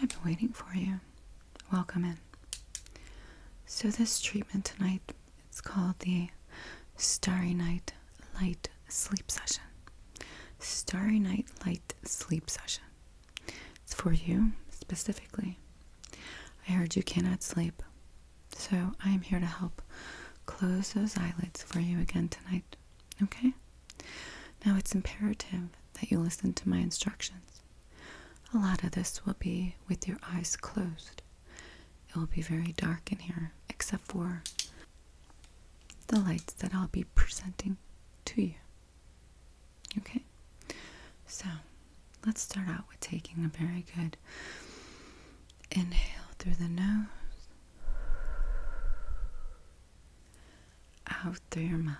I've been waiting for you. Welcome in. So this treatment tonight, it's called the Starry Night Light Sleep Session. Starry Night Light Sleep Session. It's for you specifically. I heard you cannot sleep, so I am here to help close those eyelids for you again tonight. Okay? Now it's imperative that you listen to my instructions. A lot of this will be with your eyes closed. It will be very dark in here, except for the lights that I'll be presenting to you. Okay, so let's start out with taking a very good inhale through the nose, out through your mouth.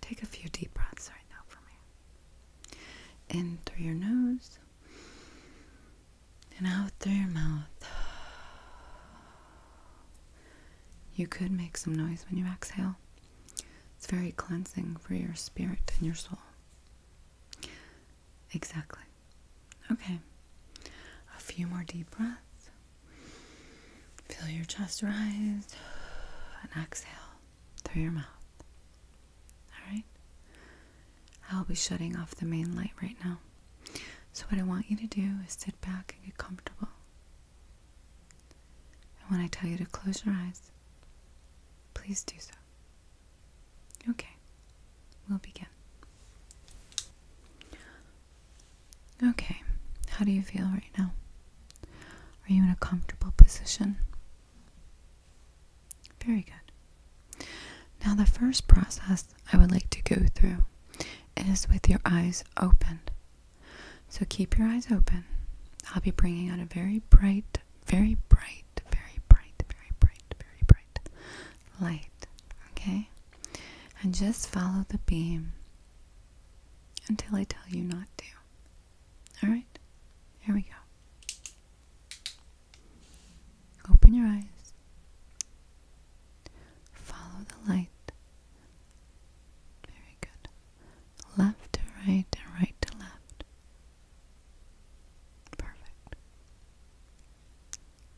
Take a few deep breaths right now for me. In through your nose and out through your mouth. You could make some noise when you exhale. It's very cleansing for your spirit and your soul. Exactly. Okay. A few more deep breaths. Feel your chest rise and exhale through your mouth. All right? I'll be shutting off the main light right now. So, what I want you to do is sit back and get comfortable. And when I tell you to close your eyes, please do so. Okay, we'll begin. Okay, how do you feel right now? Are you in a comfortable position? Very good. Now, the first process I would like to go through is with your eyes opened. So keep your eyes open. I'll be bringing out a very bright, very bright, very bright, very bright, very bright light. Okay? And just follow the beam until I tell you not to. Alright? Here we go. Open your eyes. Follow the light very good. Left to right and right to left. Perfect.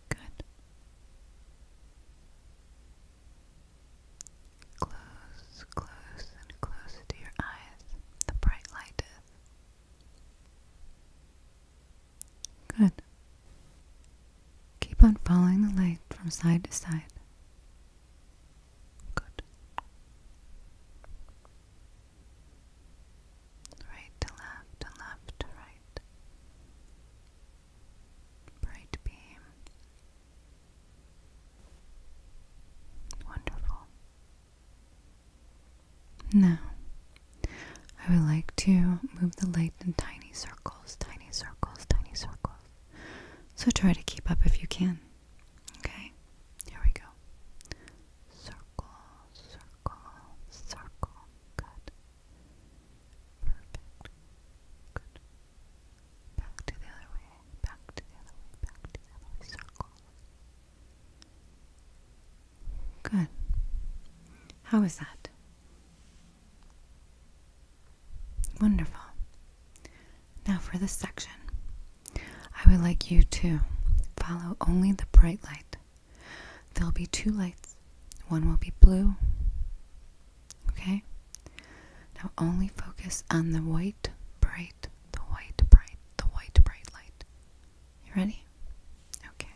Good. Close, close, and close to your eyes. The bright light is. Good. Keep on following the light from side to side. Good. Right to left and left to right. Bright beam. Wonderful. Now, I would like to move the light in tiny circles tiny circles, tiny circles. So try to keep up if you can. Okay? Here we go. Circle, circle, circle. Good. Perfect. Good. Back to the other way. Back to the other way. Back to the other way. Circle. Good. How is that? Wonderful. Now for this section. I would like you to follow only the bright light. There'll be two lights. One will be blue. Okay? Now only focus on the white, bright, the white, bright, the white, bright light. You ready? Okay.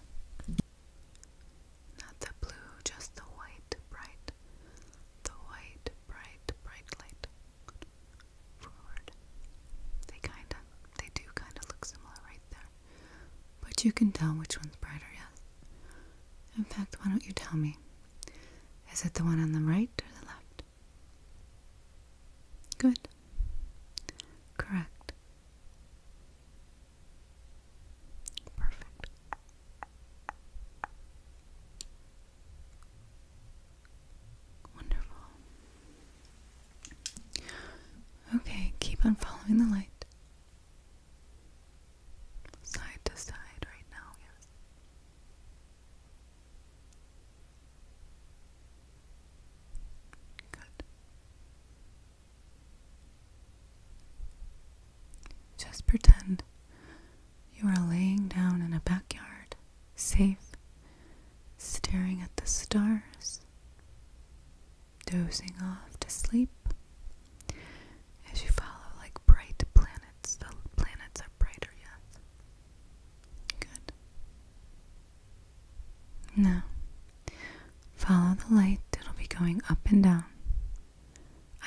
Not the blue, just the white, bright, the white, bright, bright light. Forward. They kinda, they do kinda look similar right there. But you can tell which one's brighter, yes? In fact, why don't you tell me? Is it the one on the right or the left? Good. Correct. Perfect. Wonderful. Okay, keep on following the light. Side to side right now, yes. Good. Just pretend you are laying down in a backyard, safe, staring at the stars, dozing off to sleep as you follow like bright planets. The planets are brighter, yet. Good. Now, follow the light, it'll be going up and down.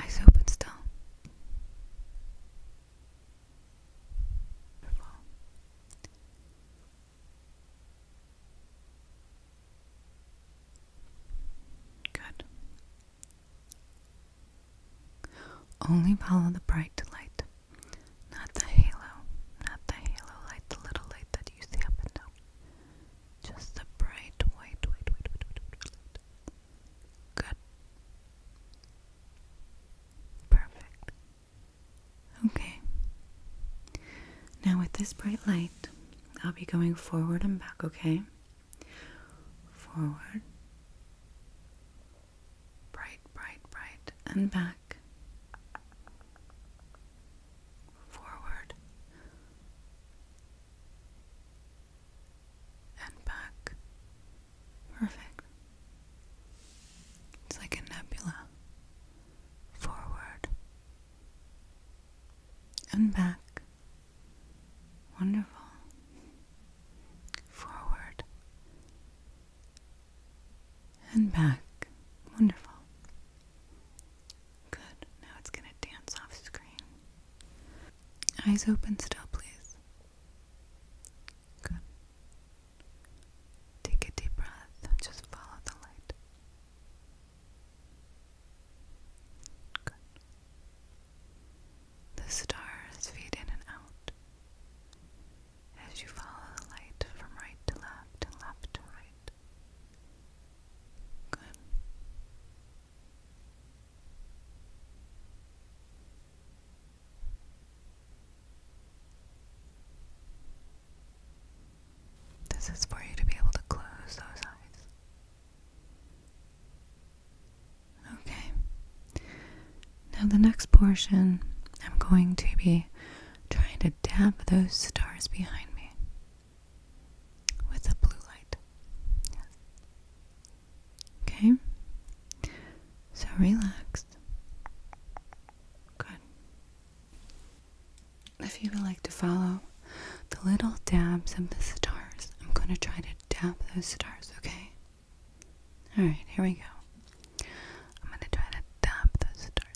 Eyes open still. Good. Only follow the bright light, not the halo, not the halo light, the little light that you see up and just the bright white, white, white, white, white, white, white. Good. Perfect. Okay. Now, with this bright light, I'll be going forward and back, okay? Forward. Bright, bright, bright, and back. Forward and back. Perfect. It's like a nebula. Forward and back. Wonderful. Forward and back. Wonderful. Good. Now it's going to dance off screen. Eyes open still, please. Good. Take a deep breath. Just follow the light. Good. The stars feed in and out as you follow the light from right to left and left to right. This is for you to be able to close those eyes. Okay. Now, the next portion, I'm going to be trying to dab those stars behind me with a blue light. Okay. So relaxed. Good. If you would like to follow the little dabs of the stars, I'm going to try to dab those stars, okay? Alright, here we go. I'm going to try to dab those stars.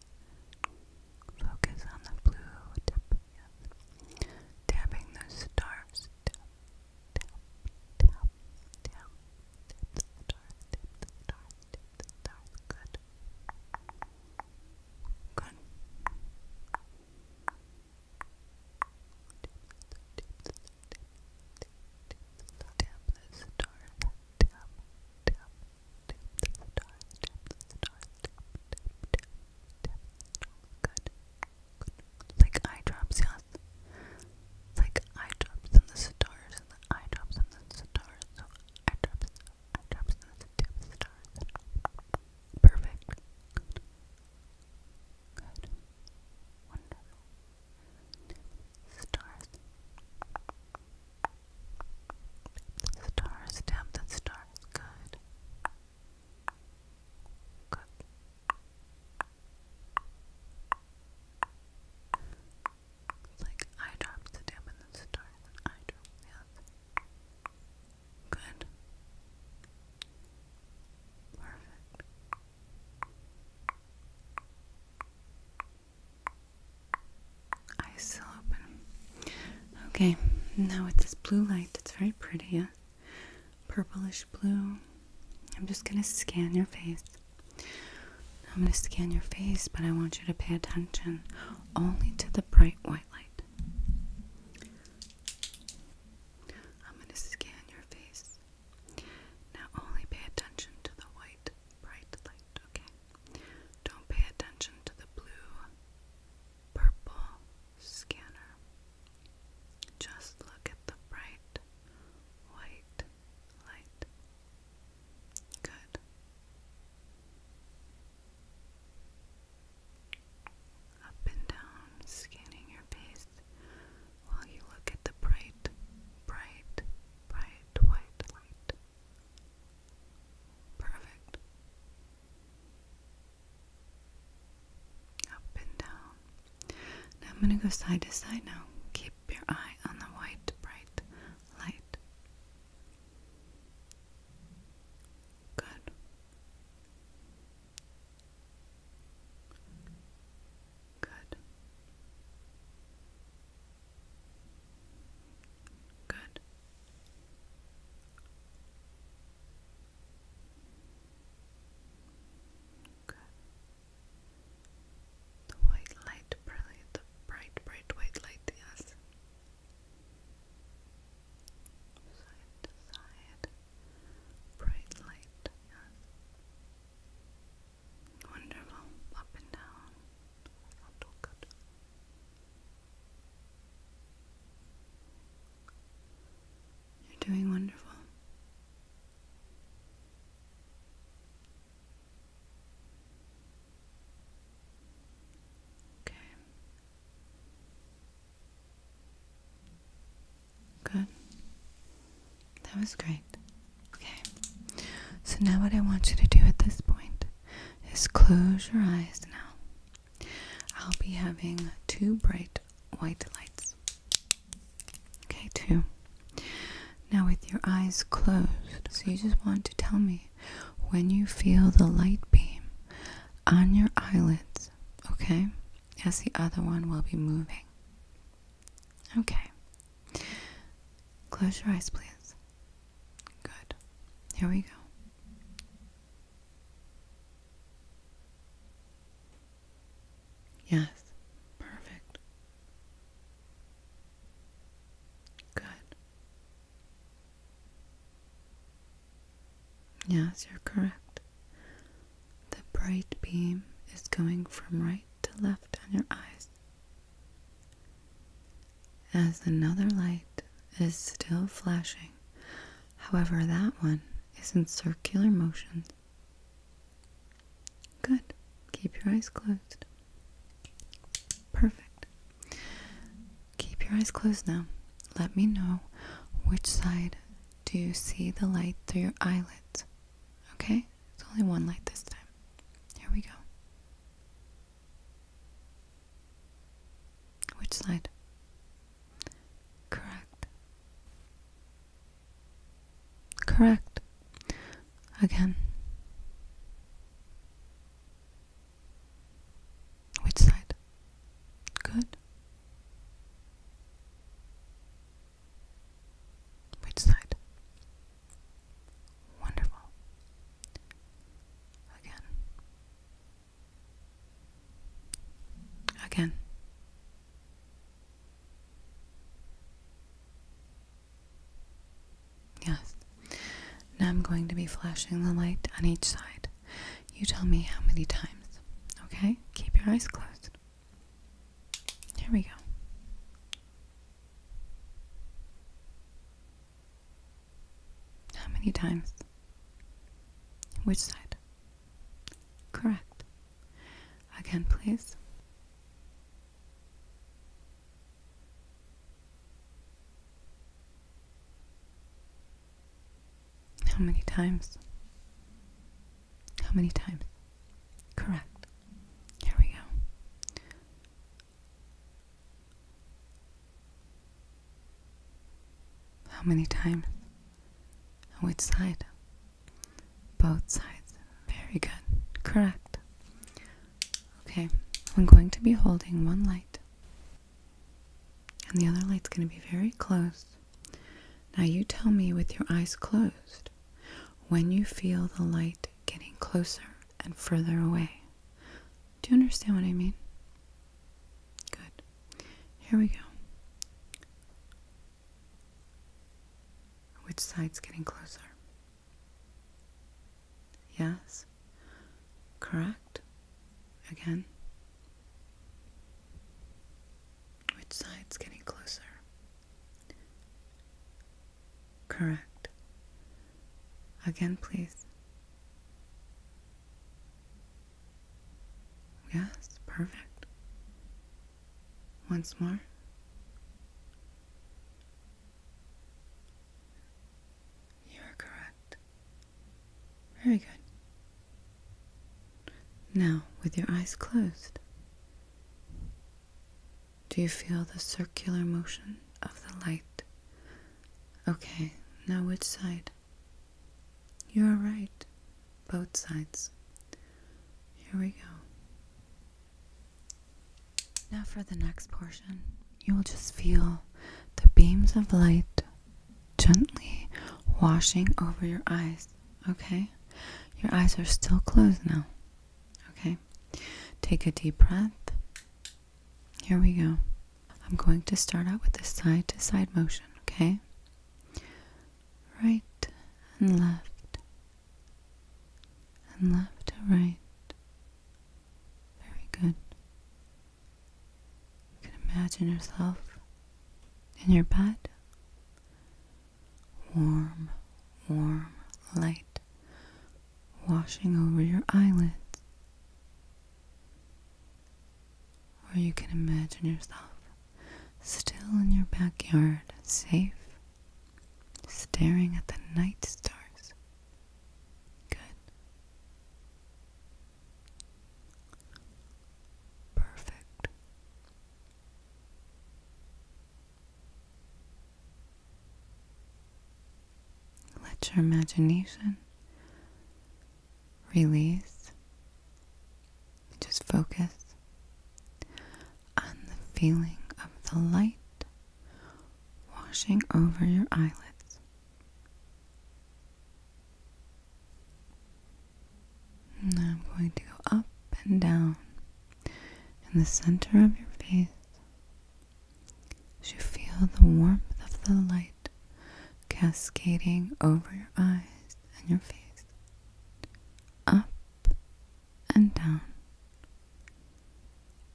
right. Focus on the blue tip. Yes. Tapping stars. Tap, tap, tap, tap. Tip the stars. Tip the stars. Tip the stars. Good. Good. Tap the star, tap, tap, like eye drops, Like eye and the stars, and the eye and the stars. So eye drops, and the stars. Perfect. Good. Wonderful. Stars. The stars, tap the stars, good. Good. It's like eye drops, the tap the stars, eye drops, yes. Good. Perfect. Eyes still open. Okay, now with this blue light that's very pretty, Purplish blue. I'm just gonna scan your face. I'm gonna scan your face, but I want you to pay attention only to the bright white light. I'm gonna scan your face. Now only pay attention to the white bright light, okay? Don't pay attention to the blue, purple scanner. Just look at the bright white light. Good. Up and down, scanning your face while you look at the bright, bright, bright white light. Perfect. Up and down. I'm going to go side to side now. Keep your eye on the white, bright light. Good. Good. Good. Good. The white light, the bright, bright white light, yes. Side to side, bright light, yes. Wonderful, up and down, you're doing wonderful. Okay. Good. That was great. Okay. So now what I want you to do at this point just close your eyes now. I'll be having two bright white lights. Okay, two. Now, with your eyes closed, so you just want to tell me when you feel the light beam on your eyelids, okay? As the other one will be moving. Okay, Close your eyes, please. Good. Here we go. Yes, perfect. Good. Yes, you're correct. The bright beam is going from right to left on your eyes. As another light is still flashing, however, that one is in circular motion. Good. Keep your eyes closed. Perfect. Keep your eyes closed now. Let me know which side do you see the light through your eyelids. Okay? It's only one light this time. Here we go. Which side? Correct. Correct. Again. Which side? Good. Which side? Wonderful. Again. Again. Yes. Now I'm going to be flashing the light on each side. You tell me how many times. Okay? Keep your eyes closed. Here we go. How many times? Which side? Correct. Again, please. How many times? How many times? Correct. Here we go. How many times? On which side? Both sides. Very good. Correct. Okay, I'm going to be holding one light. And the other light's going to be very close. Now you tell me with your eyes closed when you feel the light getting closer and further away. Do you understand what I mean? Good. Here we go. Which side's getting closer? Yes? Correct? Again? Which side's getting closer? Correct. Again, please. Yes, perfect. Once more. You are correct. Very good. Now, with your eyes closed, do you feel the circular motion of the light? Okay, now which side? You are right, both sides. Here we go. Now for the next portion, you will just feel the beams of light gently washing over your eyes, okay? Your eyes are still closed now. Okay, take a deep breath. Here we go. I'm going to start out with this side to side motion, okay? Right and left, and left to right. Very good. You can imagine yourself in your bed warm, warm light washing over your eyelids. Or you can imagine yourself still in your backyard, safe, staring at the night stars. Good. Perfect. Let your imagination release. Just focus on the feeling of the light washing over your eyelids. Now I'm going to go up and down in the center of your face you feel the warmth of the light cascading over your eyes and your face, up and down,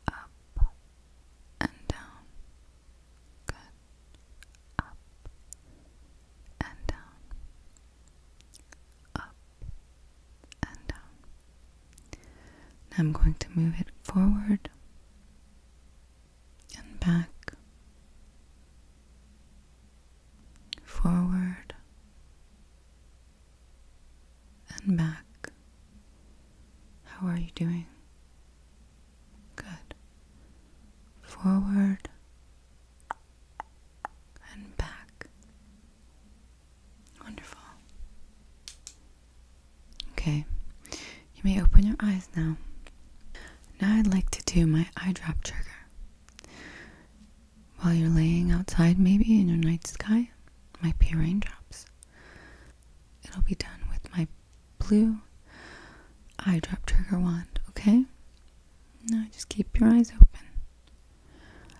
up and down, good, up and down up and down. Now I'm going to move it forward and back, forward and back. How are you doing? Good. Forward and back. Wonderful. Okay, you may open your eyes now. Now I'd like to do my eyedrop trigger. While you're laying outside, maybe in your night sky, might be raindrops. It'll be done with my blue eyedrop trigger wand, okay? Now just keep your eyes open.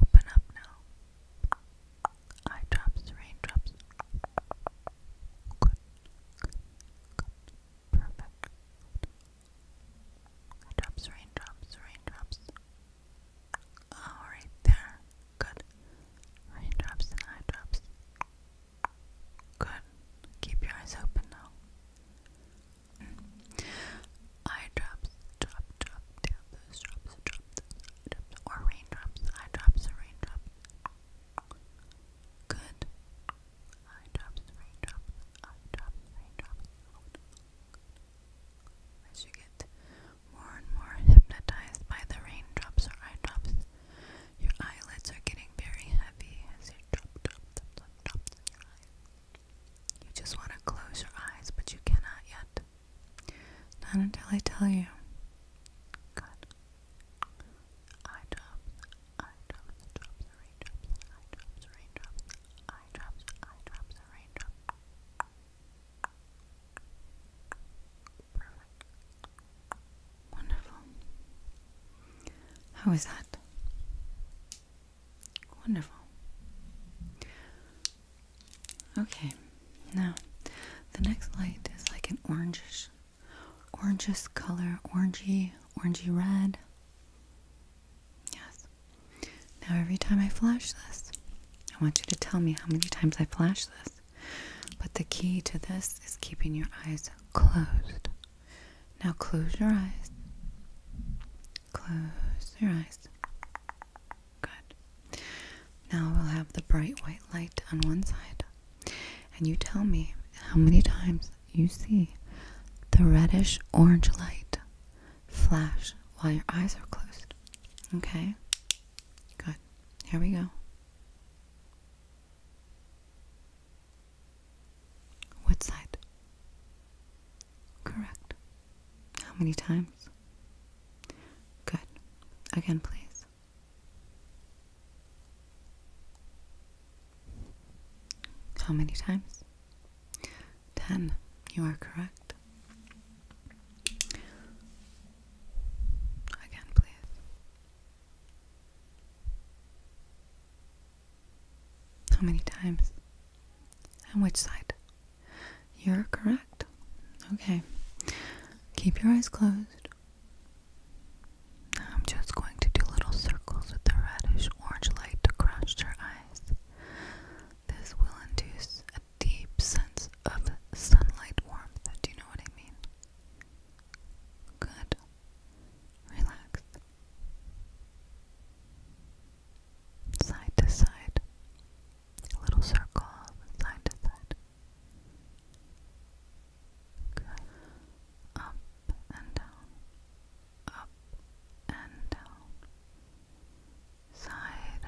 Open up now. Eye drops, raindrops. Perfect. Eye drops, raindrops, raindrops. All right there. Good. Raindrops and eye drops. Good. Keep your eyes open now eye drops, drop, drop, down those drops, drop drops, or raindrops, eye drops, or raindrops. Good. Eye drops, raindrops, eye drops, raindrops. As you get more and more hypnotized by the raindrops or eye drops, your eyelids are getting very heavy as you drop, drop, drop, drop, you just want to close your eyes, but you cannot yet. Not until I tell you. Good. Eye drops, eye drops, drops, raindrops, eye drops, raindrops, eye drops, eye drops, raindrops. Wonderful. How is that? Wonderful. Okay, now the next light is like an orangish, orangish color, orangey, orangey red. Yes. Now every time I flash this, I want you to tell me how many times I flash this. But the key to this is keeping your eyes closed. Now close your eyes Close your eyes. Good. Now we'll have the bright white light on one side. And you tell me how many times you see the reddish orange light flash while your eyes are closed. Okay? Good. Here we go. What side? Correct. How many times? Good. Again, please. How many times? Ten. You are correct. Again, please. How many times? And which side? You're correct. Okay. Keep your eyes closed. I'm just going to do little circles with the reddish orange light to crush your eyes. This will induce a deep sense of sunlight warmth. Do you know what I mean? Good. Relax side to side, a little circle, side to side. Good. Up and down, up and down, side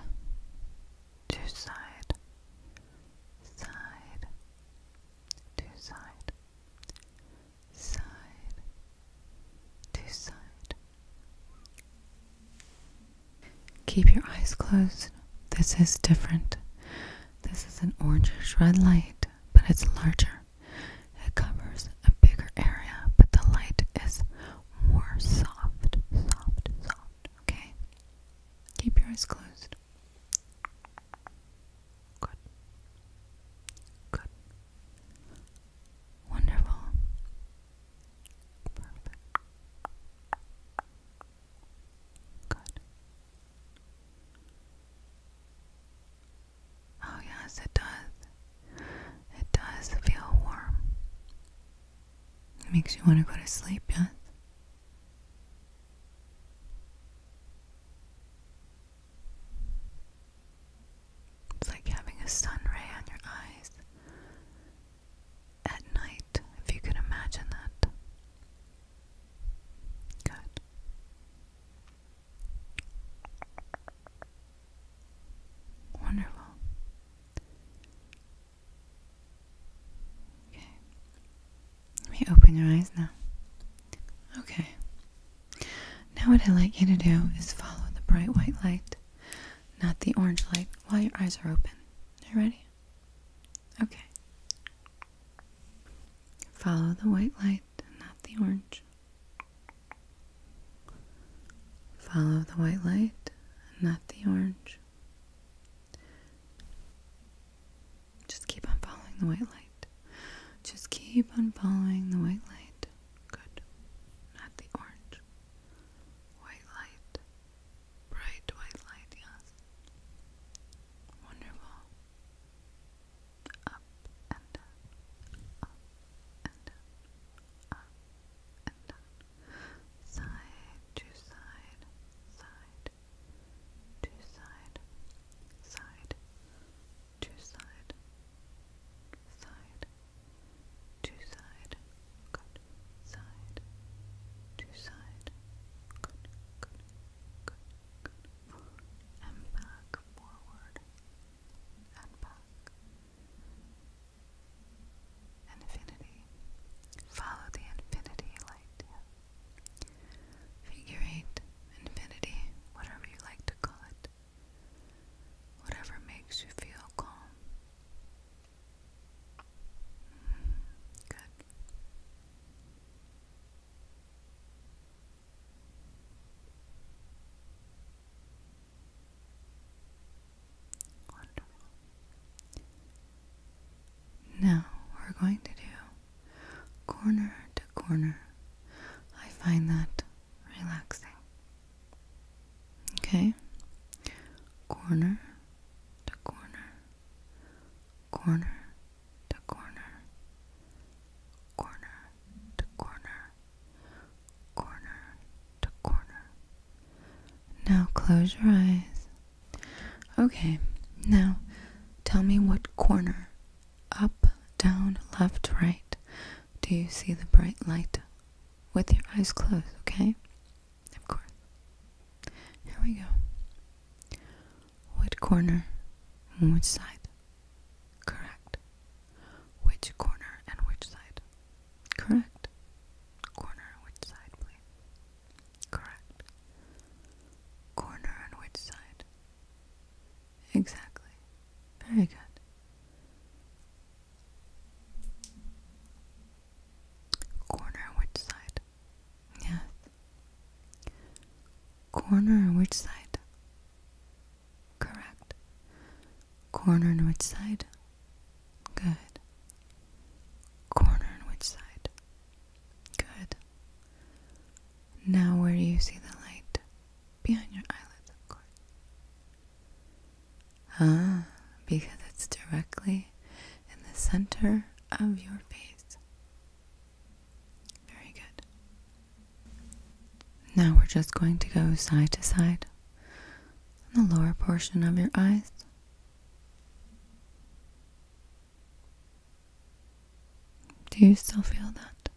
to side, side to side, side to side, Keep your eyes closed. This is different. This is an orangish red light, but it's larger. It covers a bigger area, but the light is more soft, soft, soft. Okay? Keep your eyes closed. Good. Good. Wonderful. Perfect. Good. Oh, yes, it does. It does feel warm. It makes you want to go to sleep, yes? It's like having a sun ray on your eyes at night, if you could imagine that. Good. Wonderful. Okay. Let me open your eyes now. Okay. Now, what I'd like you to do is follow the bright white light, not the orange light, while your eyes are open. Are you ready? Okay. Follow the white light, not the orange. Follow the white light, not the orange. Just keep on following the white light. Just keep on following the white light. Good. Not the orange. White light. Bright white light, yes. Wonderful. Up and down. Up and down. Up and down. Side to side. Side to side. Side to side, side, to side, good, side, to side, good, good, good, good, and back, forward and back. Infinity. Follow the infinity light. Figure eight, infinity, whatever you like to call it. Whatever makes you feel calm. Mm-hmm. Good. Wonderful. Now we're going to do corner to corner. I find that relaxing. Okay, corner to corner, corner to corner, corner to corner, corner to corner. Now close your eyes. Okay, now tell me what corner. Up, down, left, right. Do you see the bright light? With your eyes closed, okay? Of course. Here we go. What corner? Which side? Correct. Which corner and which side? Correct. Corner and which side, please? Correct. Corner and which side? Exactly. Very good. Corner on which side? Yes. Corner which side? Correct. Corner on which side? Good. Corner on which side? Good. Now, where do you see the light? Behind your eyelids, of course. Ah, because it's directly in the center of your face. Very good. Now we're just going to go side to side in the lower portion of your eyes. Do you still feel that?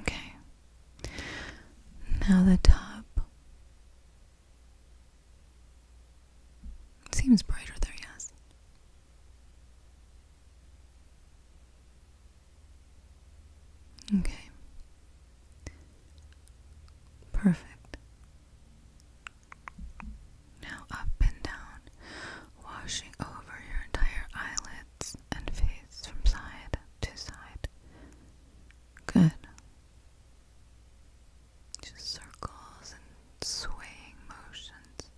Okay. Now the top seems brighter there, yes. Okay. Perfect. Now up and down washing over your entire eyelids and face from side to side. Good. Just circles and swaying motions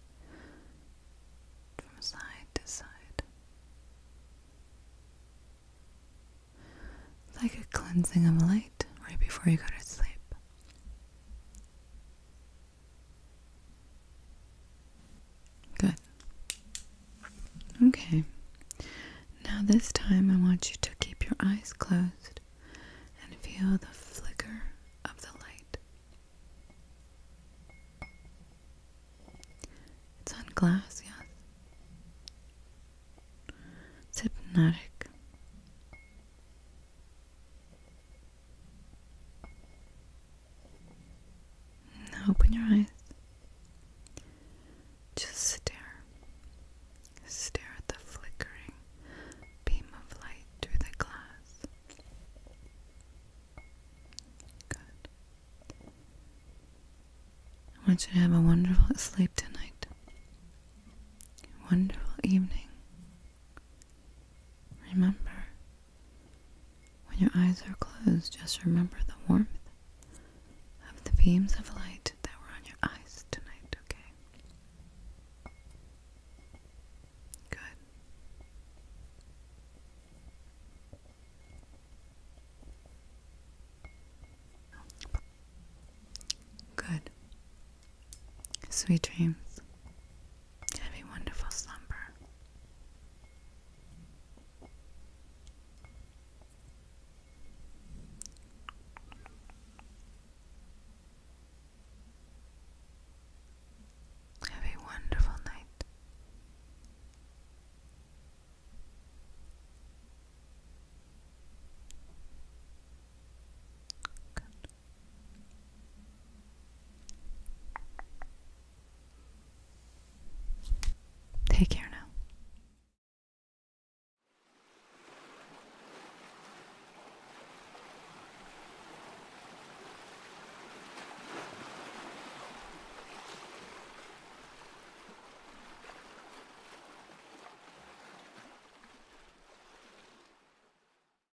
from side to side. Like a cleansing of light right before you go to sleep. Good. Okay. Now, this time I want you to keep your eyes closed and feel the flicker of the light. It's on glass, yes. It's hypnotic open your eyes. Just stare. Stare at the flickering beam of light through the glass. Good. I want you to have a wonderful sleep tonight. A wonderful evening. Remember, when your eyes are closed, just remember the warmth of the beams of light that were on your eyes tonight, okay? Good. Good. Sweet dreams. Have a wonderful slumber. Have a wonderful night. Take care now.